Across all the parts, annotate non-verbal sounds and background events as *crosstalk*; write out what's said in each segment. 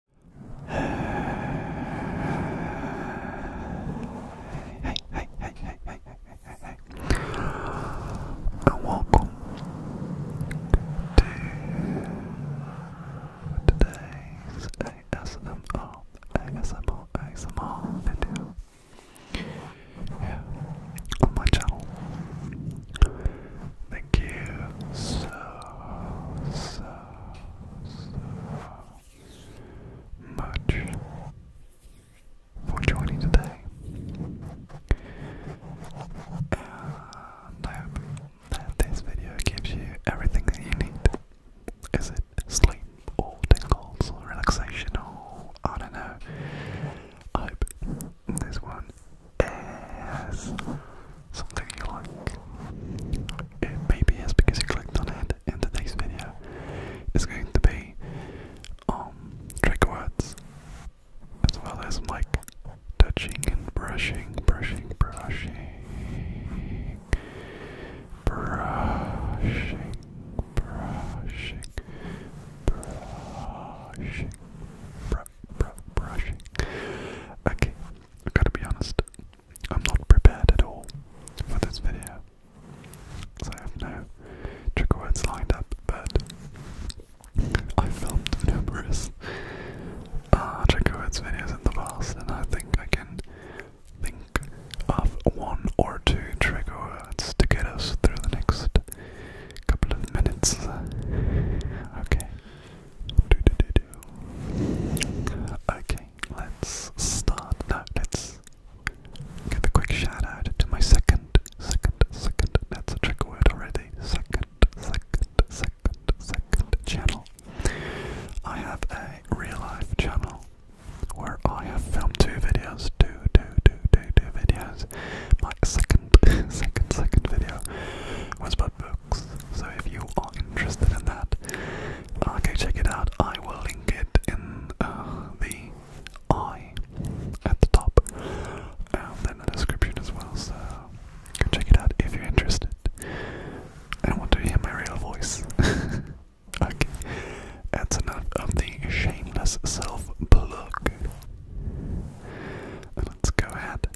はいはいはいはいはいはいはいはい welcome to today's ASMR ASMR ASMR video yeah, on my channel. The Thank you so, so, so much for joining today. And I hope that this video gives you everything that you need. Is it sleep or tingles or relaxation or I don't know? I hope this one is something you like. It maybe it's because you clicked on it, and today's video is going to be um trigger words as well as like touching and brushing, brushing, brushing, brushing, brushing, brushing, brushing. Okay, I gotta be honest, I'm not prepared at all for this video. So I have no trigger words lined up, but I filmed numerous uh, trigger words videos in the past, and I think I can think of one or two trigger words to get us through the next couple of minutes. Okay, Okay, let's start. Now let's give a quick shout out to my second, second, second. That's a trigger word already. Second, second, second, second channel. I have a real life channel where I have filmed two videos. Two, two, two, two, two videos. My second, *laughs* second, second video was about book so if you are interested in that, uh, go check it out. I will link it in uh, the I at the top and in the description as well. So go check it out if you're interested and want to hear my real voice. *laughs* okay, that's enough of the shameless self plug. Let's go ahead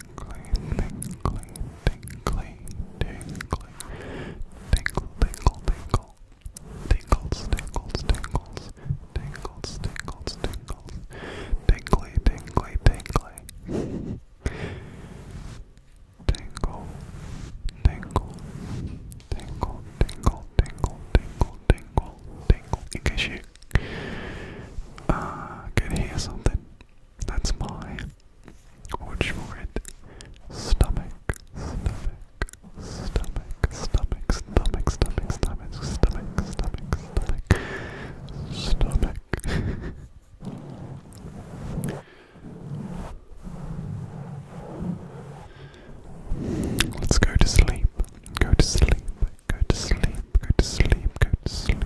tingly, tingly, tingly, tingle, tingle, tingle. Tingles, tingles, tingles, tingles, tingles, tingles, tingly, tingly, tingly. Tingle, tingle, tingle, tingle, tingle, tingle, tingle, tingle. In case you uh, can hear something, that's my or short stomach, stomach, stomach, stomach, stomach, stomach, stomach, stomach, stomach, stomach, stomach. Let's go to sleep. Go to sleep. Go to sleep. Go to sleep. Go to sleep.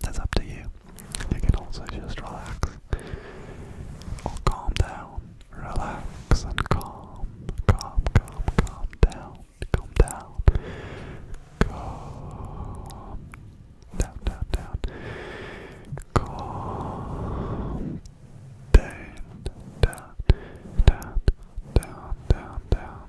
That's up to you. You can also just relax or calm down. Relax and calm. Calm, calm, calm down. Calm down. Calm down, down, down. Calm down, down, down, down, down, down.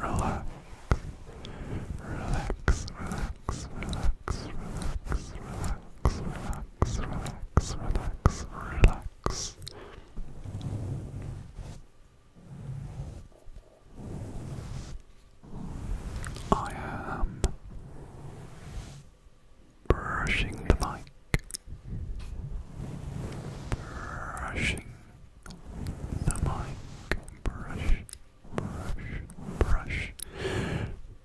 relax, relax, relax, relax, relax, relax, relax, relax, relax, relax. I am brushing the bike. brushing the mic. Brush, brush,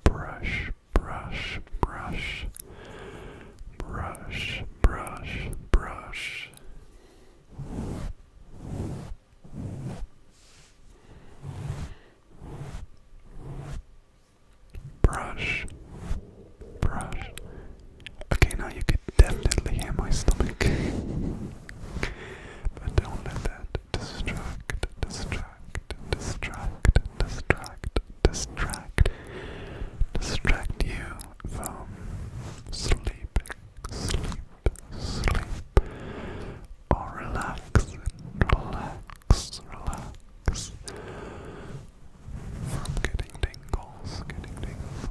brush, brush, brush, brush, brush, brush, brush. Brush, brush. Okay, now you could definitely hear my stomach. But don't let that distract, distract, distract, distract, distract, distract you from sleeping, sleep, sleep, or relaxing, relax, relax. From getting tingles, getting tingles,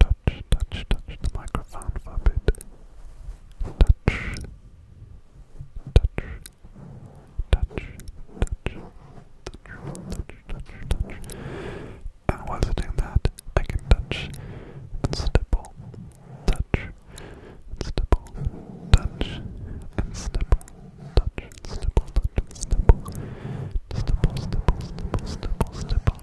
touch, touch, touch the microphone for a bit. Touch, touch, touch, touch, touch, touch, touch, touch. And while I doing that, I can touch and stipple, touch and stipple, touch and stipple, touch and stipple, touch and stipple, stipple, stipple, stipple, stipple, stipple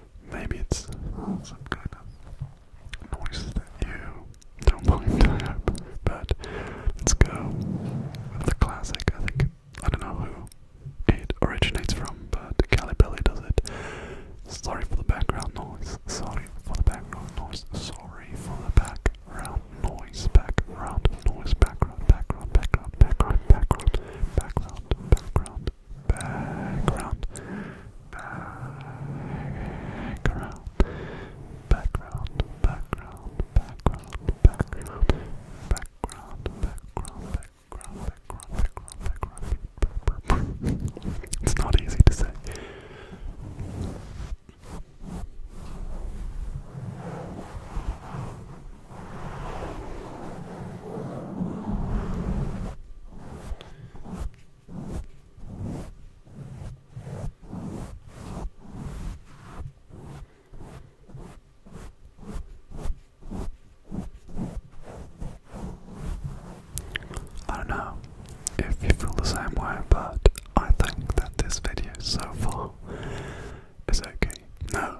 Maybe it's some kind of noise that you don't mind, I hope. But let's go with the classic. I think, I don't know who it originates from, but Calipelli does it. Sorry for the background noise. Sorry for the background noise. Sorry for the background noise. Background noise. Background, background, background, background, background, background, background, background, background, background, background, background, background, background, background, background, background, background, background. It's not easy to say. I don't know if you feel the same way, but I think that this video so far is okay. No,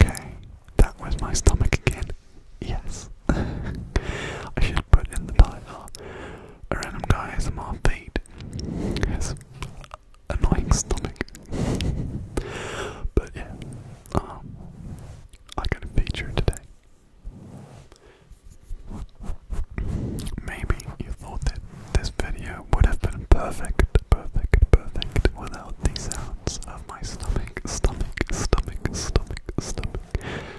Okay, that was my stomach again. Yes. *laughs* I should put in the title. A random guy has a mouth feet. annoying stomach. *laughs* but yeah, um, I got a feature today. Maybe you thought that this video would have been perfect perfect, perfect, perfect without the sounds of my stomach, stomach, stomach, stomach, stomach.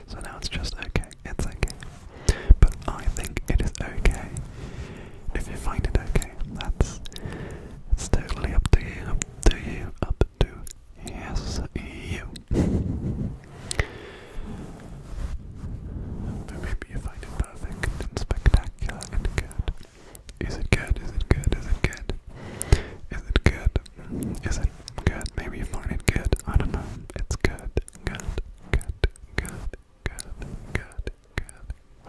So now it's just okay, it's okay. But I think it is okay. If you find it okay, that's it's totally up to you, up to you, up to yes you. But maybe you find it perfect and spectacular and good. Is it good? Is it good? Is it good? Is it good? Is it good? Maybe you find it good. I don't know. It's good. Good. Good. Good. Good. Good. Good. Good. Good.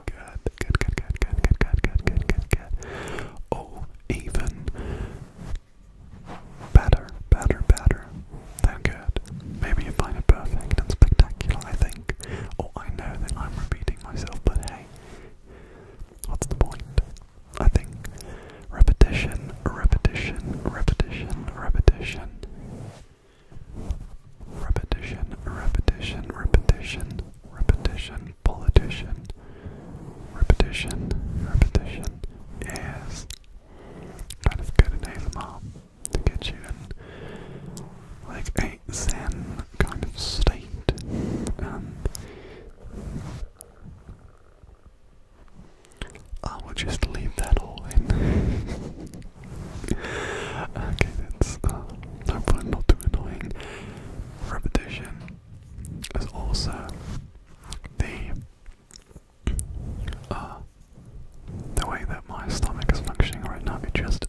Good. Good. Good. Good. Good. Good. Good. Good. Or even better. Better. Better. Than good. Maybe you find it perfect and spectacular. I think think. Oh, I know that I'm repeating myself, but hey, what's the point? I think repetition, repetition, repetition, repetition, repetition, repetition, repetition, repetition, politician, repetition, repetition, yes. Kind of good in ASMR to get you in like a zen kind of state. Um, I will just leave that all in. *laughs* okay, that's uh, hopefully not too Repetition is also the uh, the way that my stomach is functioning right now. If just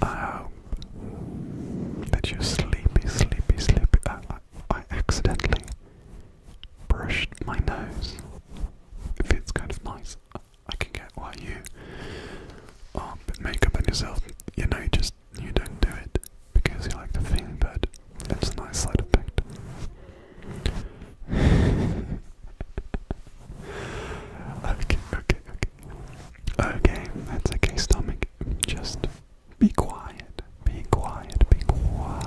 I um, hope that you sleepy, sleepy, sleepy. I, I accidentally brushed my nose. It feels kind of nice. I can get why you are um, makeup on yourself. You know, just you don't do it because you like the thing, but it's a nice side effect. *laughs* okay, okay, okay. Okay, that's okay, stomach. Just be quiet. Be quiet. Be quiet.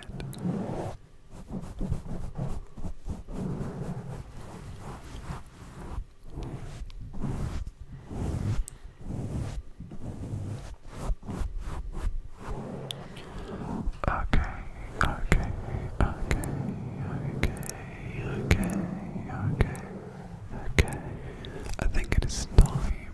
Okay, okay, okay, okay, okay, okay, okay. I think it is time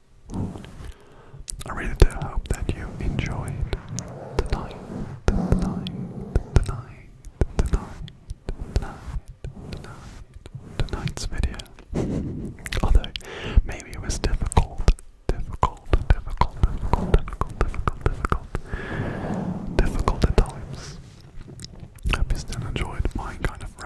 I really do hope that you enjoyed tonight, tonight, tonight, tonight, tonight, tonight, tonight's video. Although maybe it was difficult, difficult, difficult, difficult, difficult, difficult, difficult, difficult times. I still enjoyed my kind of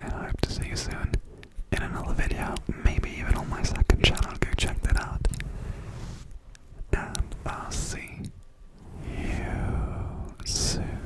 And I hope to see you soon in another video, maybe even on my second channel. Go check that out. And I'll see you soon.